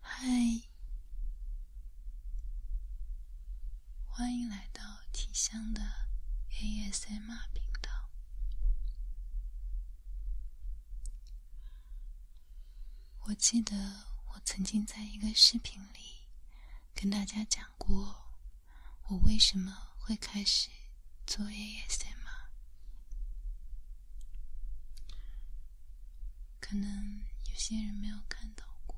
嗨，欢迎来到体香的 ASMR 频道。我记得我曾经在一个视频里跟大家讲过，我为什么会开始。作业也是吗？可能有些人没有看到过，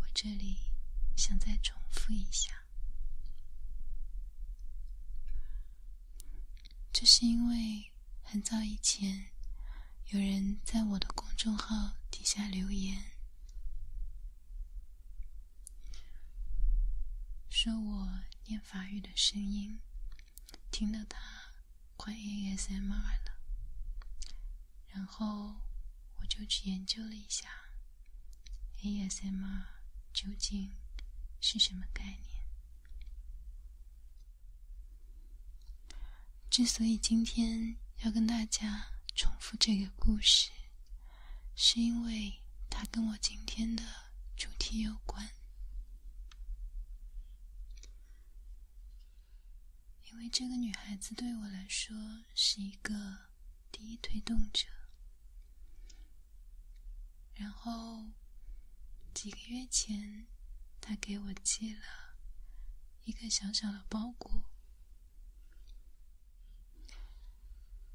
我这里想再重复一下。这是因为很早以前有人在我的公众号底下留言。说我念法语的声音，听到他快 ASMR 了。然后我就去研究了一下 ASMR 究竟是什么概念。之所以今天要跟大家重复这个故事。是因为它跟我今天的主题有关，因为这个女孩子对我来说是一个第一推动者。然后几个月前，她给我寄了一个小小的包裹。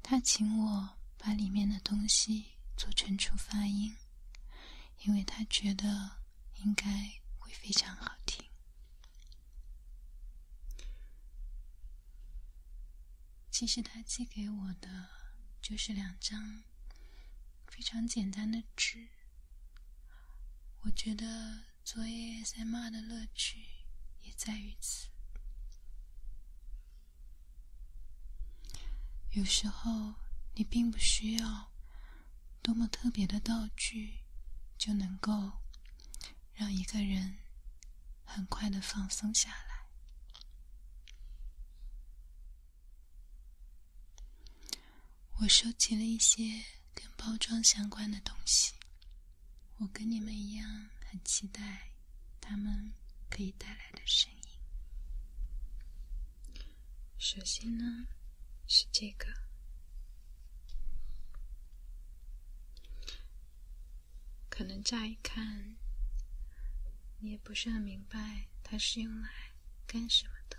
他请我把里面的东西做成出发音，因为他觉得应该会非常好听。其实他寄给我的就是两张非常简单的纸，我觉得做 ASMR 的乐趣也在于此。有时候，你并不需要多么特别的道具，就能够让一个人很快的放松下来。我收集了一些跟包装相关的东西。我跟你们一样，很期待他们可以带来的声音。首先呢，是这个，可能乍一看，你也不是很明白它是用来干什么的。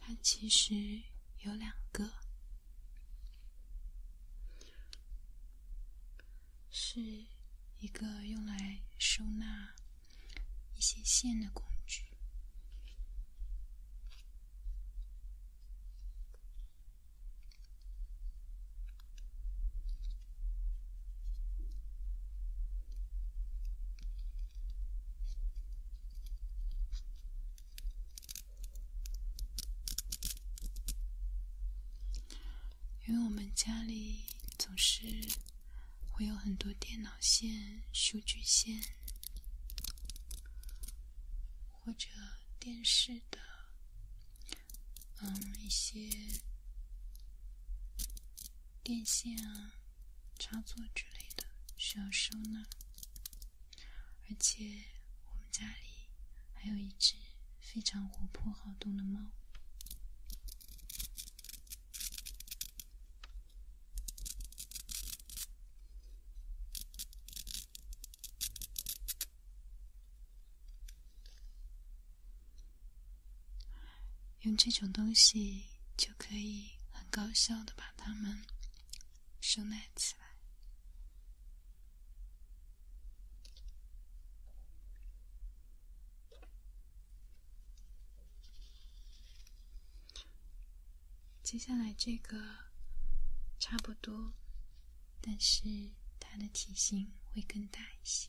它其实有两个。是一个用来收纳一些线的工具。因为我们家里总是会有很多电脑线、数据线，或者电视的嗯一些电线啊、插座之类的需要收纳。而且我们家里还有一只非常活泼好动的猫，用这种东西就可以很高效的把它们收纳起来。接下来这个差不多，但是它的体型会更大一些。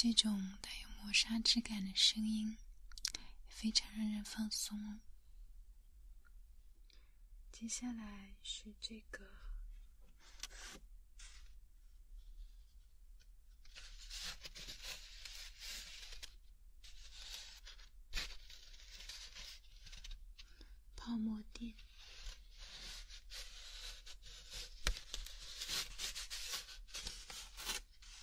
这种带有磨砂质感的声音，非常让人放松。接下来是这个泡沫垫。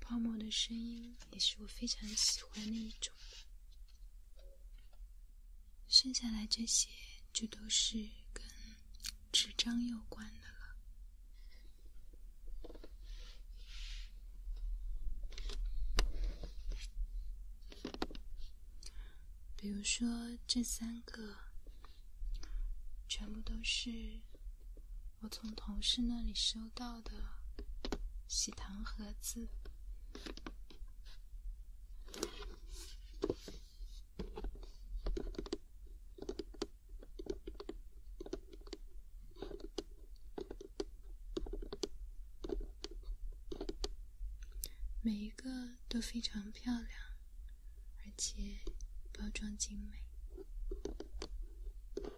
泡沫的声音也是我非常喜欢的一种。剩下来这些就都是跟纸张有关的了，比如说这三个，全部都是。我从同事那里收到的喜糖盒子，每一个都非常漂亮，而且包装精美。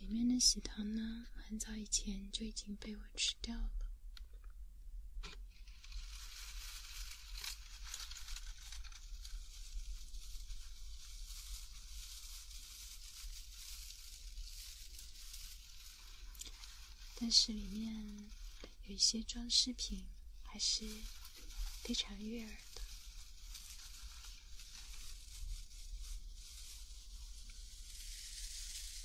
里面的喜糖呢，很早以前就已经被我吃掉了。但是里面有一些装饰品，还是非常悦耳的。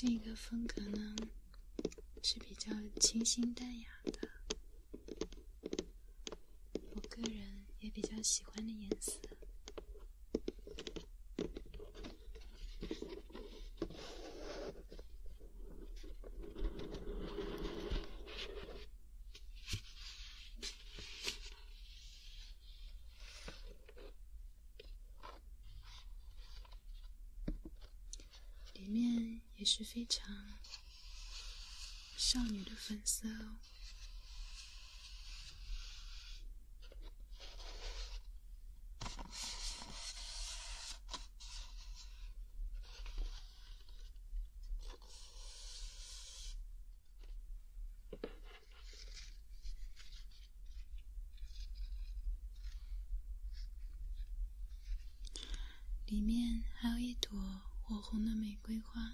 这个风格呢？是比较清新淡雅的，我个人也比较喜欢的颜色。里面也是非常少女的粉色哦。里面还有一朵火红的玫瑰花，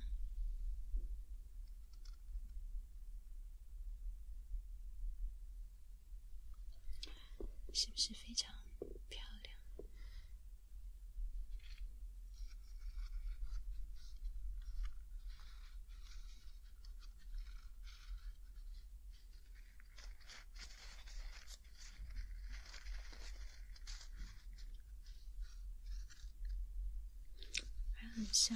是不是非常漂亮？还很香。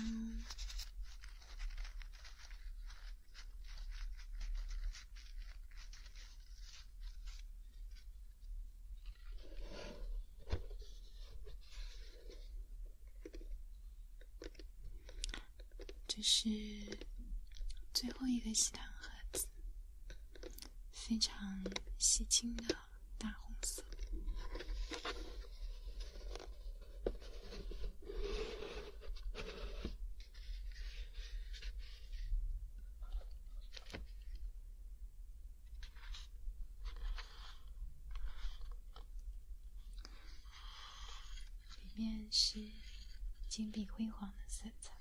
这是最后一个喜糖盒子，非常喜庆的大红色。里面是金碧辉煌的色彩。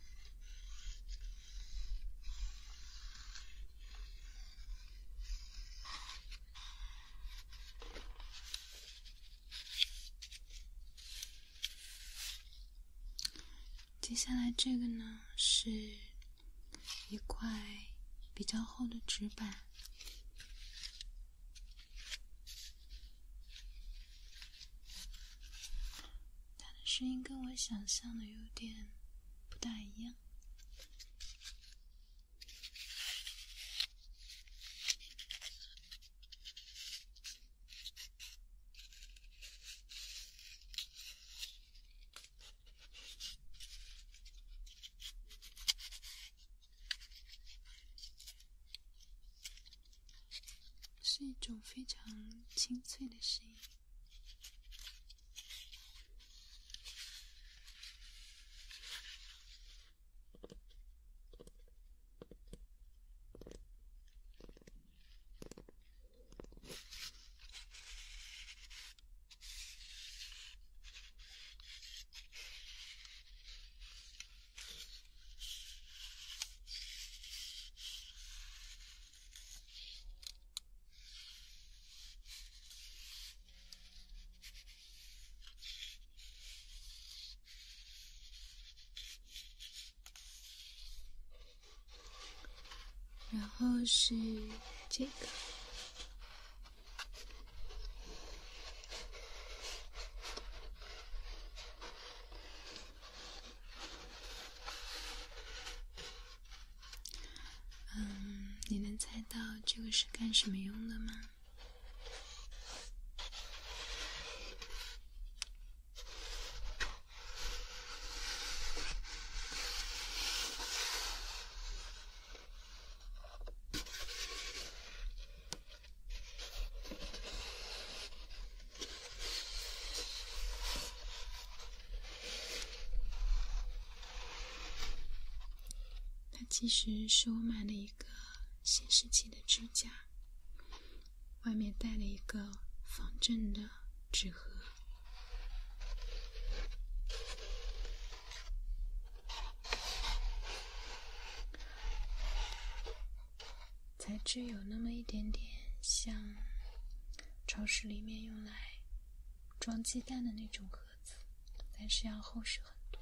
接下来这个呢，是一块比较厚的纸板。他的声音跟我想象的有点不大一样。是一种非常清脆的声音。然后是这个。嗯，你能猜到这个是干什么用的吗？它其实是我买了一个显示器的支架，外面带了一个仿真的纸盒。材质有那么一点点像超市里面用来装鸡蛋的那种盒子，但是要厚实很多。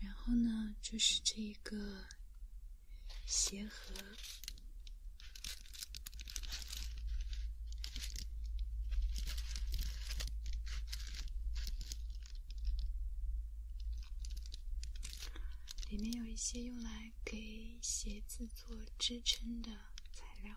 然后呢，就是这一个鞋盒。里面有一些用来给鞋子做支撑的材料。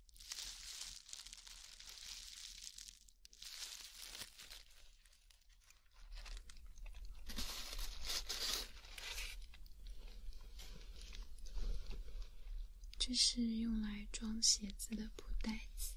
这是用来装鞋子的布袋子。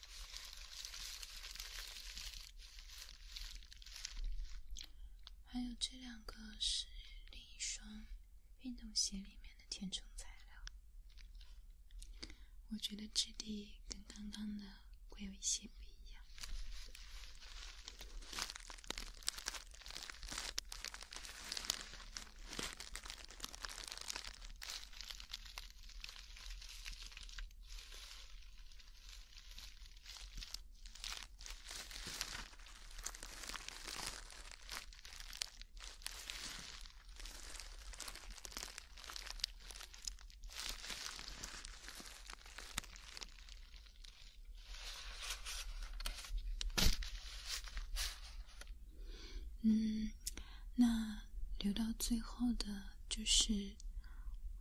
还有这两个是另一双运动鞋里面的填充材料，我觉得质地跟刚刚的会有一些不一样。嗯，那留到最后的就是。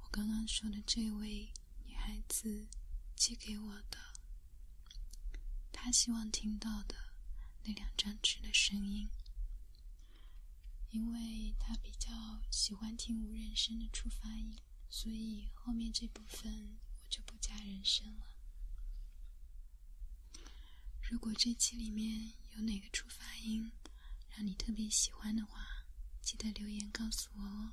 我刚刚说的这位女孩子寄给我的，她希望听到的那两张纸的声音，因为她比较喜欢听无人声的触发音，所以后面这部分我就不加人声了。如果这期里面……有哪个初发音让你特别喜欢的话，记得留言告诉我哦。